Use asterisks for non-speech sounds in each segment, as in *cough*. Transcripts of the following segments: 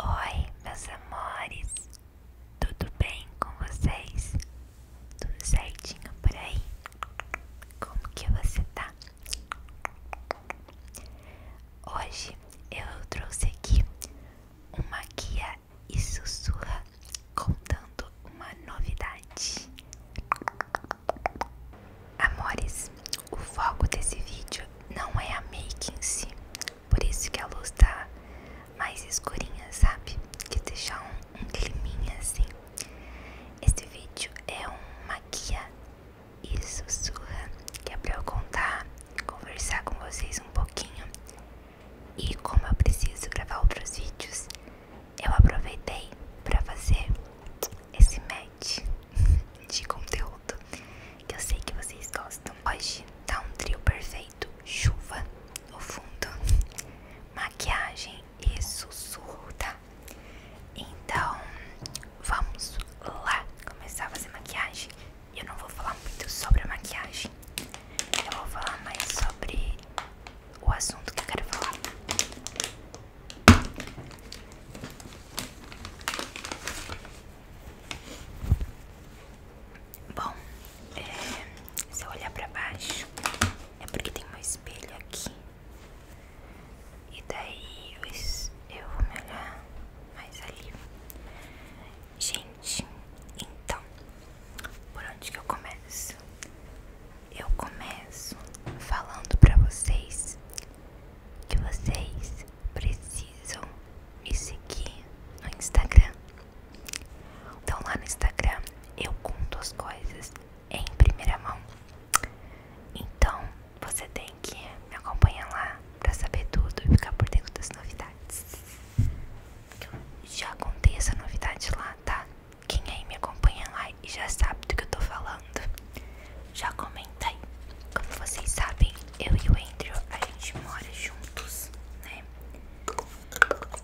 Oi, meus amores, tudo bem com vocês? Tudo certinho por aí? Como que você tá? Hoje eu trouxe aqui uma guia e sussurra contando uma novidade. Amores, o foco desse vídeo não é a make em si, por isso que a luz tá mais escurinha, sabe? De deixar um, um climinha assim. Esse vídeo é uma guia e sussurra, que é pra eu contar, conversar com vocês um pouquinho. E como eu preciso gravar outros vídeos, eu aproveitei para fazer esse make. *laughs* de conteúdo que eu sei que vocês gostam. Hoje tá um trio perfeito: chuva no fundo, *laughs* maquiagem e sussurro, tá? Então vamos lá começar a fazer maquiagem. Eu não vou falar muito sobre a maquiagem, eu vou falar mais sobre o assunto que eu quero falar. Bom, é, se eu olhar pra baixo, é porque tem um espelho aqui. E daí eu, eu vou me olhar mais ali. Gente, então, por onde que eu começo? Eu começo falando pra vocês que vocês precisam me seguir no Instagram. Então lá no Instagram eu conto as coisas em primeira mão. Então você tem que me acompanhar lá para saber tudo e ficar por dentro das novidades. já contei essa novidade lá, tá? Quem aí me acompanha lá e já sabe do que eu tô falando falando. Já comentei. Como vocês sabem, eu e o Andrew, a gente mora juntos, né?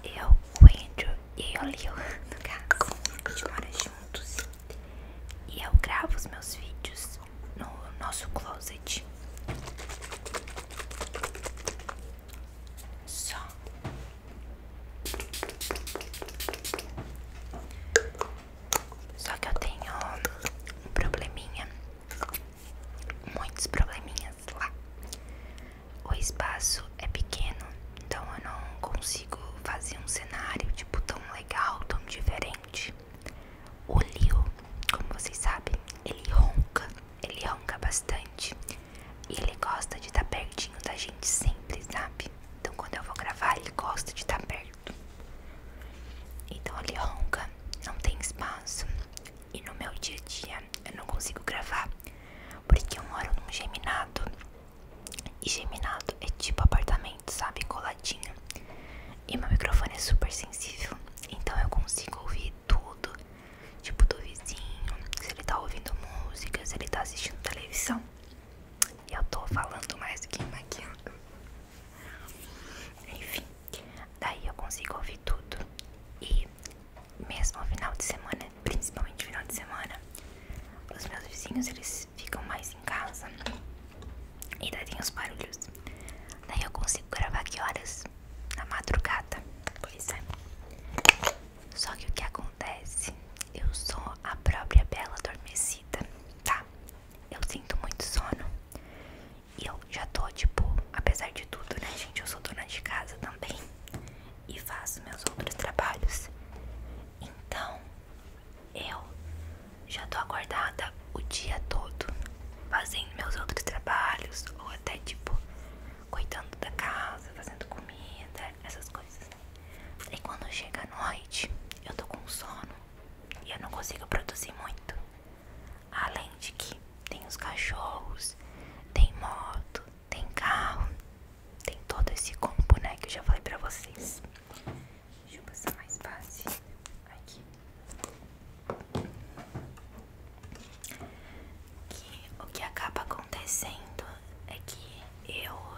Eu, o Andrew e o Leo, *laughs* no caso, a gente mora juntos. E eu gravo os meus vídeos no nosso closet. Só só que eu tenho um probleminha, muitos probleminhas lá. O espaço é pequeno, então eu não consigo fazer um cenário tipo tão legal, tão diferente. O Leo, como vocês sabem, ele ronca, ele ronca bastante e ele gosta de estar tá pertinho da gente sempre, sabe? Então quando eu vou gravar, ele gosta de estar tá perto. Então ele ronca, não tem espaço. E no meu dia a dia eu não consigo gravar. Porque eu moro num geminado. E geminado é tipo apartamento, sabe? Coladinho. E meu microfone é super sensível. Então eu consigo ouvir tudo. Tipo do vizinho. Se ele tá ouvindo música, se ele tá assistindo televisão. Eu tô falando mais do que maquiando. Enfim, daí eu consigo ouvir tudo. E mesmo ao final de semana, principalmente final de semana, os meus vizinhos eles ficam mais em casa. E daí tem os barulhos. Daí eu consigo gravar que horas? Na madrugada. Pois é. Só que o que acontece? Eu sou a própria bela adormecida, tá? eu sinto muito sono. E eu já tô, tipo, apesar de tudo, né, gente? Eu sou dona de casa também. E faço meus outros trabalhos. Então, eu já tô acordada o dia todo. Fazendo meus outros trabalhos. Ou até, tipo, cuidando da casa, fazendo comida, essas coisas. E quando chega a noite, eu tô com sono e eu não consigo produzir muito. Além de que tem os cachorros, tem moto, tem carro, tem todo esse combo, né, que eu já falei pra vocês. Deixa eu passar mais fácil aqui. o que acaba acontecendo é que eu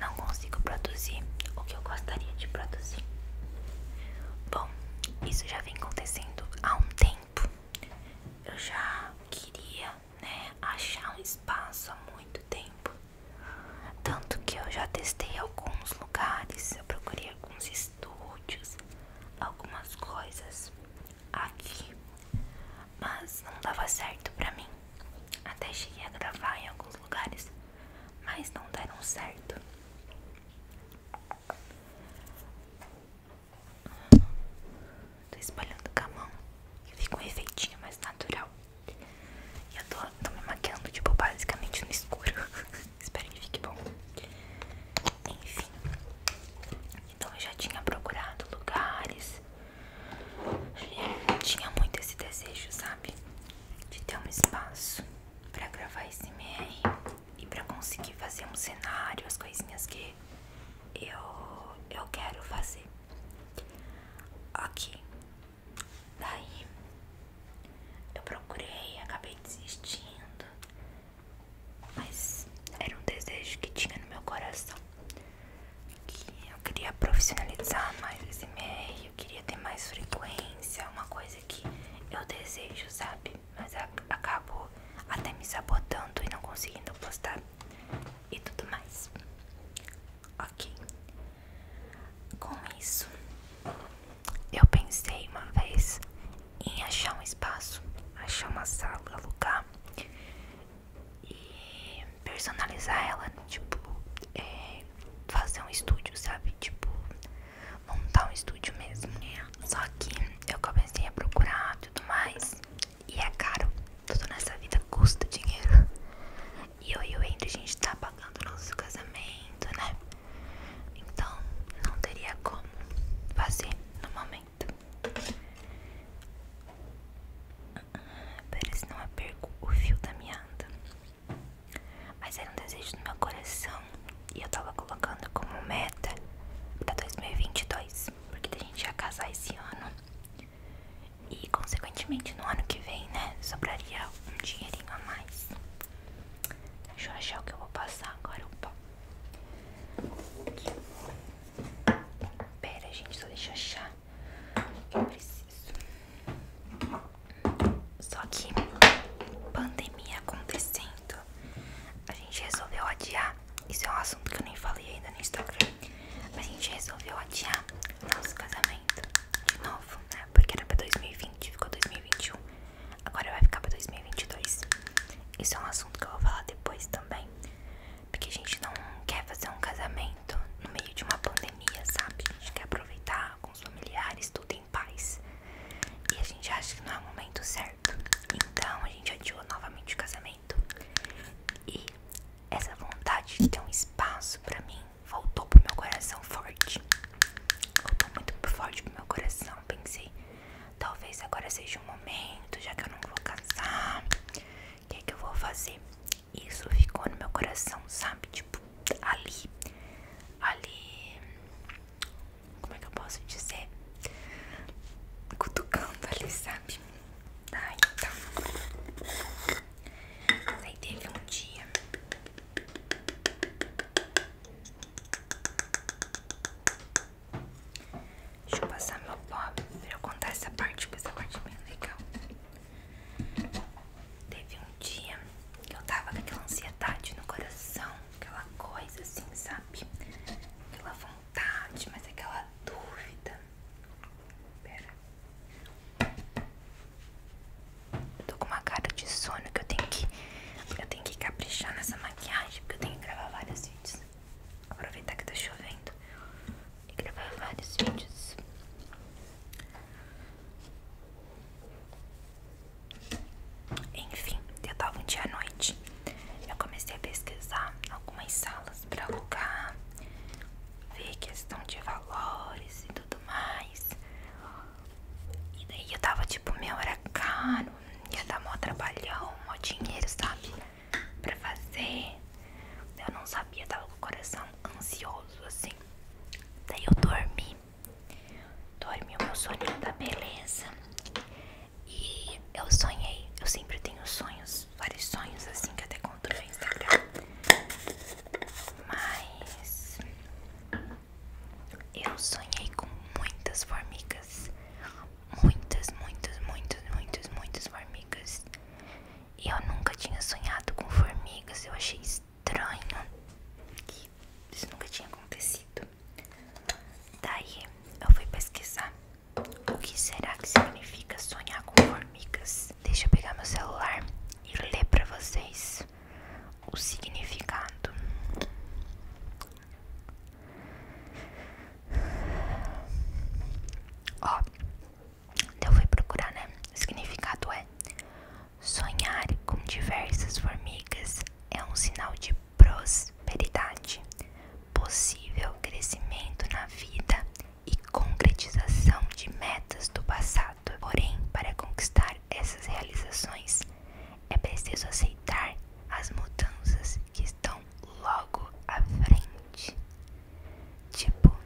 não consigo produzir o que eu gostaria de produzir. Bom, isso já vem acontecendo há um tempo. Eu já queria, né, achar um espaço há muito tempo. Tanto que eu já testei alguns lugares, eu procurei alguns estúdios, algumas coisas aqui, mas não dava certo pra mim. Até cheguei a gravar em alguns lugares, mas não deram certo. Tô espalhando com a mão que fica um efeitinho mais natural. E eu tô me maquiando, tipo, basicamente no escuro. *laughs* Espero que fique bom. Enfim. Então eu já tinha procurado lugares tinha muito esse desejo, sabe? De ter um espaço pra gravar esse MR e pra conseguir fazer um cenário, as coisinhas que eu, eu quero fazer. Ok. Daí eu procurei, acabei desistindo. Mas era um desejo que tinha no meu coração eu queria profissionalizar mais esse meio, eu queria ter mais frequência, uma coisa que eu desejo, sabe? Mas acabou até me sabotando e não conseguindo postar e tudo mais. Ok. Com isso, eu pensei uma vez em achar um espaço, achar uma sala, alugar e personalizar ela, tipo, é, fazer um estúdio, sabe? Tipo, montar um estúdio mesmo, né? Só que eu comecei a procurar tudo mais e é caro. Tudo nessa vida custa dinheiro. E eu e o Andrew, a gente tá pagando o nosso casamento, né? Então, não teria como fazer no momento para se não perco o fio da minha anda. Mas era um desejo do meu coração e eu tava colocando como meta para 2022, porque a gente ia casar esse ano e, consequentemente, no ano que vem, né, sobraria um dinheirinho a mais. Deixa eu achar o que eu vou passar agora. Opa. Pera, gente, só deixa eu achar eu preciso. Só que pandemia acontecendo, a gente resolveu adiar. Isso é um assunto que eu nem falei ainda no Instagram. a gente resolveu adiar nosso casamento de novo, né? Porque era pra 2020, ficou 2021. Agora vai ficar pra 2022. Isso é um assunto que eu vou falar depois também. Porque a gente não quer fazer um casamento no meio de uma pandemia, sabe? A gente quer aproveitar com os familiares, tudo em paz. E a gente acha que não é o momento certo. Então a gente adiou novamente o casamento. E essa vontade de ter um espaço pra mim voltou pro meu coração forte. Voltou muito forte pro meu coração. Pensei, talvez agora seja o momento, já que eu não vou casar. O que, é que eu vou fazer? isso ficou no meu coração, sabe? Tipo, ali, ali, como é que eu posso dizer? Cutucando ali, sabe? Ai, então. Aí teve um dia. Deixa eu passar meu pó pra eu contar essa parte, porque essa parte é bem legal. Teve um dia que eu tava com aquela ansiedade no coração, aquela coisa assim, sabe? Aquela vontade, mas aquela dúvida. Pera. tô com uma cara de sono que eu tenho que. Eu tenho que caprichar nessa maquiagem, porque eu tenho que gravar vários vídeos aproveitar que tá chovendo e gravar vários vídeos. Enfim, eu tava um dia à noite. Eu comecei a pesquisar algumas salas pra alugar, ver questão de valores e tudo mais. E daí eu tava tipo, meia hora caro, ia dar mó trabalhão, mó dinheiro, sabe? pra fazer. Eu não sabia, tava com o coração ansioso assim. Daí eu dormi. Dormi o meu soninho da tá beleza. E eu sonhei. Eu sempre tenho sonhos, vários sonhos assim que até conto no Instagram. Mas eu sonhei com muitas formigas. Muitas, muitas, muitas, muitas, muitas formigas. Eu nunca tinha sonhado com formigas, eu achei estranho que isso nunca tinha acontecido. Daí eu fui pesquisar o que será que significa sonhar com formigas. Deixa eu pegar meu celular e ler para vocês o significado. Ó, então eu fui procurar, né? O significado é: sonhar com diversas formigas é um sinal de prosperidade, possível crescimento na vida e concretização de metas do passado. Porém, para conquistar essas realizações, é preciso aceitar as mudanças que estão logo à frente. Tipo,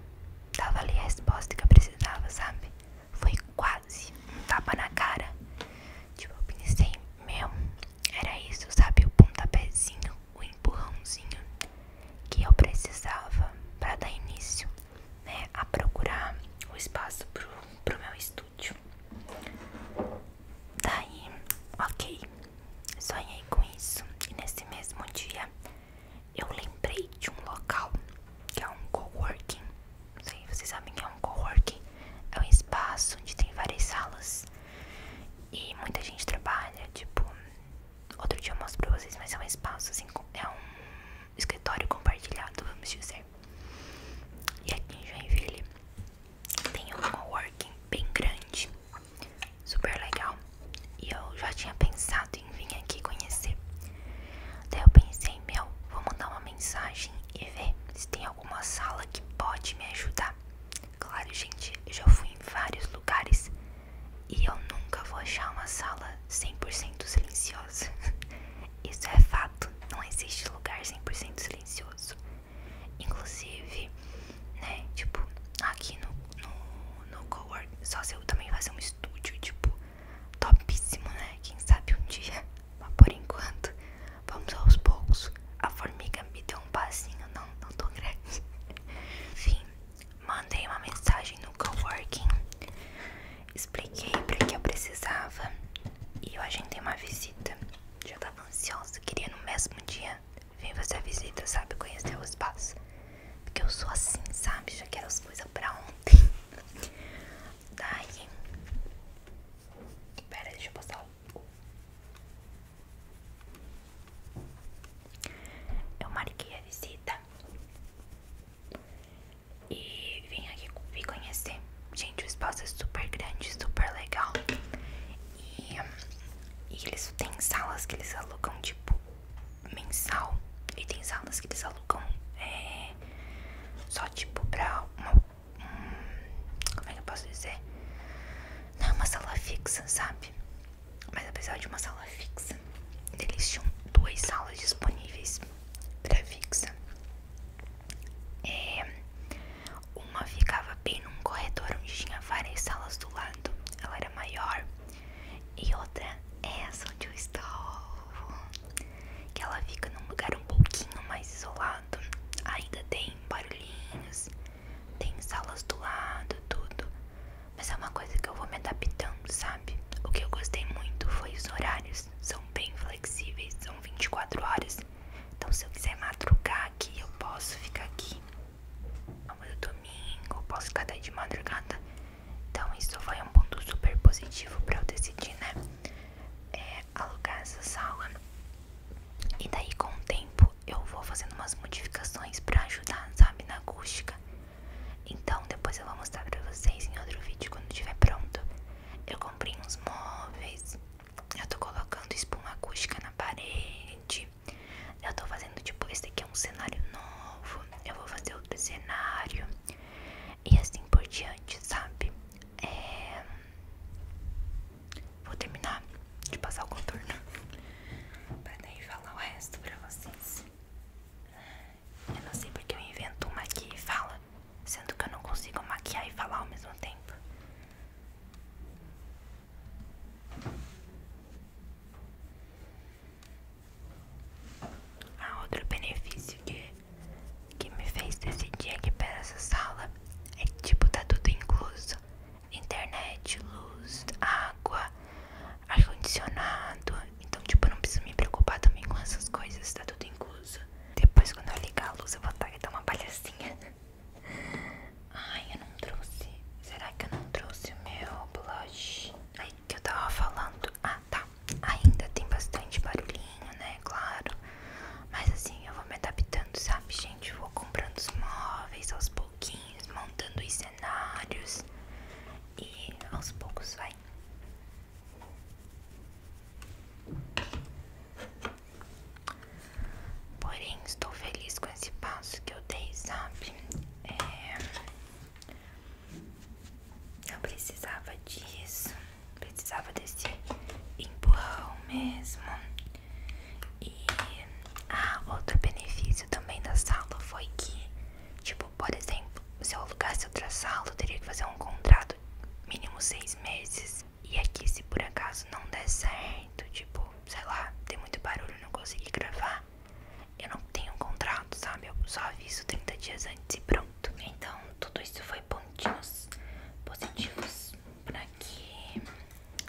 dava ali a resposta que eu precisava, sabe? Foi quase um tapa na cara. Tipo, eu pensei, meu, era isso, sabe? O pontapézinho, o empurrãozinho que eu precisava para dar início, né? A procurar o espaço pro, pro meu estúdio. Daí, ok. Sonhei com isso e nesse mesmo dia eu lembrei de um local que é um coworking. Não sei, vocês sabem que é um coworking. É um espaço onde tem várias salas e muita gente trabalha. Tipo, outro dia eu mostro pra vocês, mas é um espaço assim, é um escritório compartilhado, vamos dizer. E aqui em Joinville tem um coworking bem grande super legal. E eu já tinha pensado em vir aqui conhecer. Daí eu pensei, meu, vou mandar uma mensagem e ver se tem alguma sala que pode me ajudar. Claro, gente, eu já fui em vários lugares e eu nunca vou achar uma sala 100% silenciosa. *laughs* Isso é fato, não existe lugar 100% silencioso. Inclusive, né, tipo, aqui no, no, no só se eu também fazer um estúdio, tipo, topíssimo, né? Quem sabe um dia, *laughs* mas por enquanto, vamos aos poucos. A formiga me deu um passinho, não, não tô grande. *laughs* Enfim, mandei uma mensagem no Coworking, expliquei pra que eu precisava e a gente tem uma visita. Já tava ansiosa, queria no mesmo dia Vem fazer a visita, sabe? Conhecer o espaço. Porque eu sou assim, sabe? Já quero as coisas pra ontem. *laughs* Daí. Pera, deixa eu postar o. Eu marquei a visita. E vim aqui vim conhecer. Gente, o espaço é super grande, super legal. E, eles têm salas que eles alugam tipo mensal e tem salas que eles alugam é, só tipo pra uma. como é que eu posso dizer? Não é uma sala fixa, sabe? Mas apesar de uma sala fixa, eles tinham duas salas disponíveis pra fixa. É, uma ficava bem num corredor onde tinha várias salas do lado, ela era maior. E outra é essa onde eu estou, que ela fica num lugar um pouquinho mais isolado. Ainda tem barulhinhos, tem salas do lado, tudo. Mas é uma coisa que eu vou me adaptando, sabe? O que eu gostei muito foi os horários. São bem flexíveis, são 24 horas. Então, se eu quiser madrugar aqui, eu posso ficar aqui. Amanhã é domingo, eu posso ficar daí de madrugada. Então, isso foi um ponto super positivo pra eu decidir, né? Eh, alugar essa sala. E daí, com o tempo, eu vou fazendo umas modificações pra ajudar, sabe, na acústica. Então, depois eu vou mostrar pra vocês em outro vídeo quando estiver pronto. Eu comprei uns móveis. Eu tô colocando espuma acústica na parede. Eu tô fazendo tipo, esse aqui é um cenário novo. Eu vou fazer outro cenário. E assim por diante, sabe? É... Vou terminar de passar o contorno. *laughs* pra daí falar o resto pra vocês. Eu não sei porque eu invento uma e fala. Sendo que eu não consigo maquiar e falar ao mesmo tempo. Ah, outro benefício que, que me fez decidir aqui para essa sala é que, tipo, tá tudo incluso: internet, luz, água, ar-condicionado. Então, tipo, eu não preciso me preocupar também com essas coisas, tá tudo incluso. Depois, quando eu ligar a luz, eu vou estar tá, e dar uma palhacinha. Ai, eu não trouxe. Será que eu não trouxe o meu blush? Aí que eu tava falando. Ah, tá. Ainda tem bastante barulhinho, né? Claro. Mas assim, eu vou me adaptando, sabe, gente? vou comprando os móveis aos pouquinhos, montando os cenários. E aos poucos vai. Porém, estou feliz com esse passo que eu dei, sabe? É, eu precisava disso, precisava desse empurrão mesmo. E ah, outro benefício também da sala foi que, tipo, por exemplo, se eu alugasse outra sala, eu teria que fazer um contrato mínimo seis meses. E aqui, se por acaso não der certo, tipo, sei lá, tem muito barulho, não consegui gravar, eu não tenho um contrato, sabe? Eu só aviso 30 dias antes e pronto. Então, tudo isso foi pontinhos positivos pra que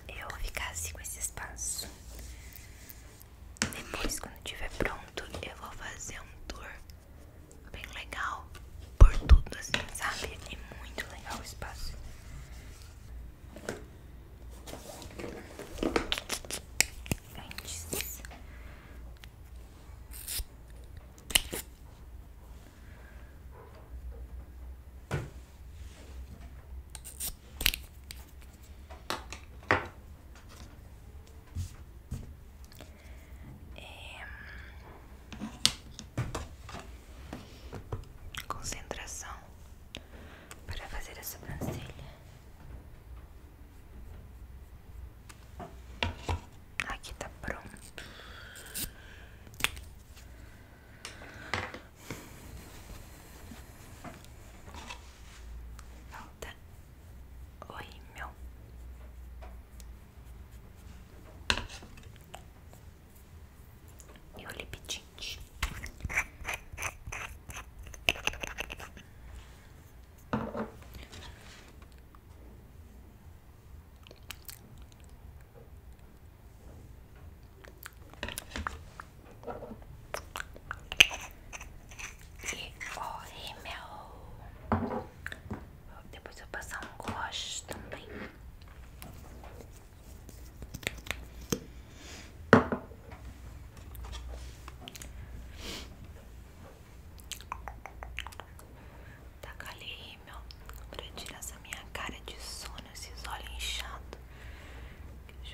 eu ficasse com esse espaço. Depois, quando tiver pronto, eu vou fazer um tour bem legal por tudo assim, sabe? É muito legal o espaço concentração para fazer a sobrancelha. Aqui está pronto. Falta oi meu e o lip tint. E o rímel depois eu vou passar um gloss também. Taca tá ali meu pra tirar essa minha cara de sono, esses olhos inchados.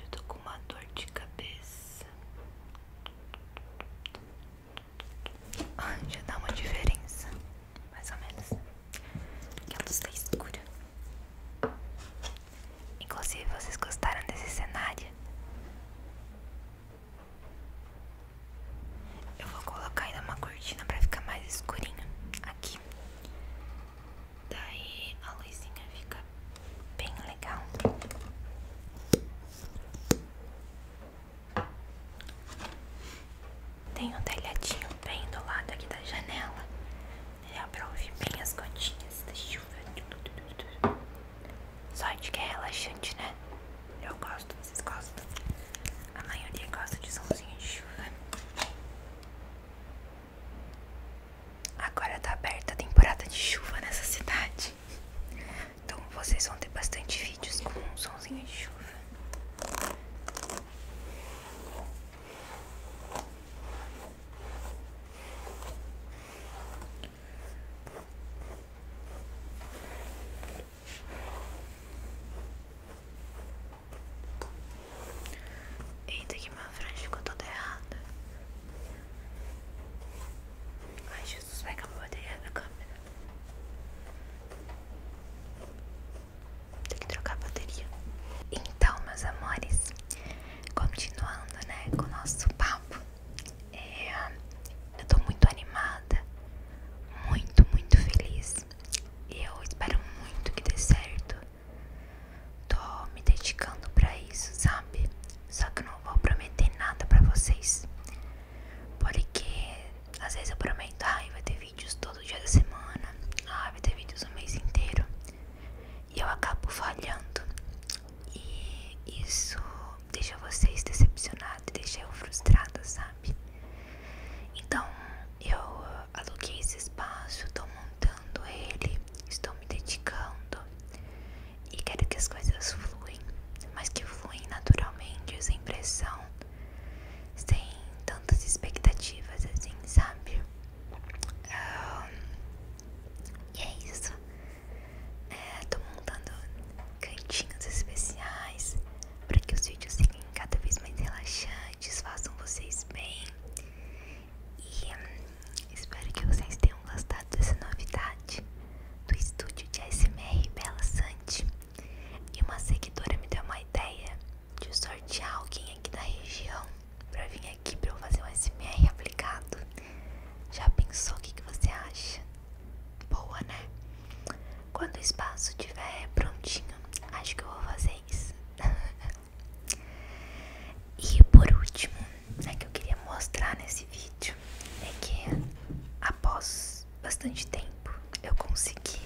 Eu tô com uma dor de cabeça. Ah, já dá uma diferença mais ou menos, que a luz tá escura. Inclusive, vocês gostaram desse cenário? Eu vou colocar ainda uma cortina para ficar mais escurinha aqui. Daí a luzinha fica bem legal. Tem um telhadinho bem do lado aqui da janela. Dá pra ouvir bem as gotinhas da chuva. Sorte que é relaxante, né? Eu gosto, vocês gostam? A maioria gosta de somzinho de chuva. Agora tá aberta a temporada de chuva nessa cidade. Então vocês vão ter bastante vídeos com um somzinho de chuva. Eita, que minha frente ficou todo errado. Ai, Jesus, vai acabar a câmera. Tem que trocar a bateria. Então, meus amores, continuando, né, com o nosso papo, é, eu tô muito animada, muito, muito feliz. E eu espero muito que dê certo. Tô me dedicando pra isso, sabe? Só que eu não vou prometer nada pra vocês. Porque às vezes eu prometo, ai, vai ter vídeos todo dia da semana, ai, vai ter vídeos o mês inteiro. E eu acabo falhando. E isso deixa vocês decepcionados, deixa eu frustrada, sabe? Então eu aluguei esse espaço, tô montando ele, estou me dedicando e quero que as coisas fluem, mas que fluem naturalmente, sem pressão, sem tantas expectativas, assim, sabe? e é isso. É, tô montando cantinhos especiais para que os vídeos sejam cada vez mais relaxantes, façam vocês bem. E hum, espero que vocês tenham gostado dessa novidade do estúdio de ASMR Bela Sante. E uma seguidora me deu uma ideia de sortear alguém aqui da região para vir aqui para eu fazer um SMR aplicado. Já pensou o que, que você acha? Boa, né? Quando o espaço estiver prontinho, acho que eu vou fazer isso. *laughs* e por último, né, que eu queria mostrar nesse vídeo é que após bastante tempo eu consegui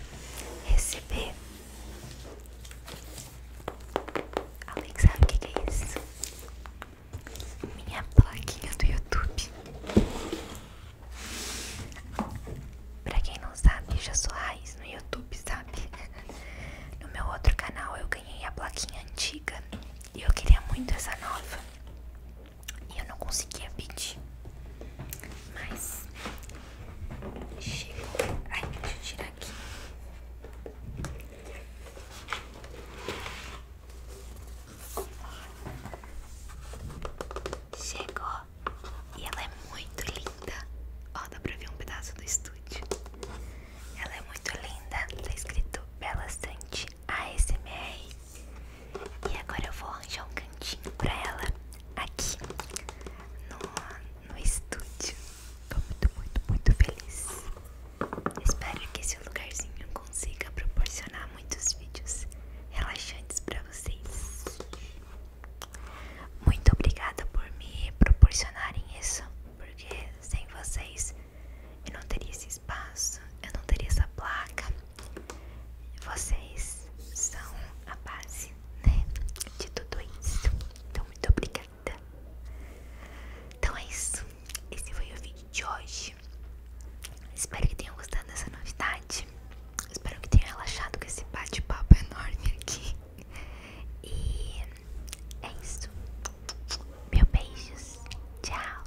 receber. Alguém sabe o que é isso? Minha plaquinha do YouTube. Pra quem não sabe, já sou raiz no YouTube, sabe? *laughs* No meu outro canal eu ganhei a plaquinha antiga e eu queria muito essa nova. E eu não conseguia pedir. Mas chegou. Ai, deixa eu tirar aqui. Chegou. E ela é muito linda. Ó, dá pra ver um pedaço do estúdio. Ela é muito linda. Tá escrito Bela Sante ASMR. E agora eu vou arranjar um cantinho pra ela aqui no, no estúdio. Tô muito, muito, muito feliz. Espero que esse lugarzinho consiga proporcionar muitos vídeos relaxantes pra vocês. Muito obrigada por me proporcionarem isso, porque sem vocês eu não teria esse espaço, eu não teria essa placa. Vocês são a base, né? De tudo isso. Então, muito obrigada. Então é isso. Esse foi o vídeo de hoje. Espero que tenham gostado dessa novidade. Espero que tenham relaxado com esse bate-papo enorme aqui. E é isso. meus beijos. Tchau.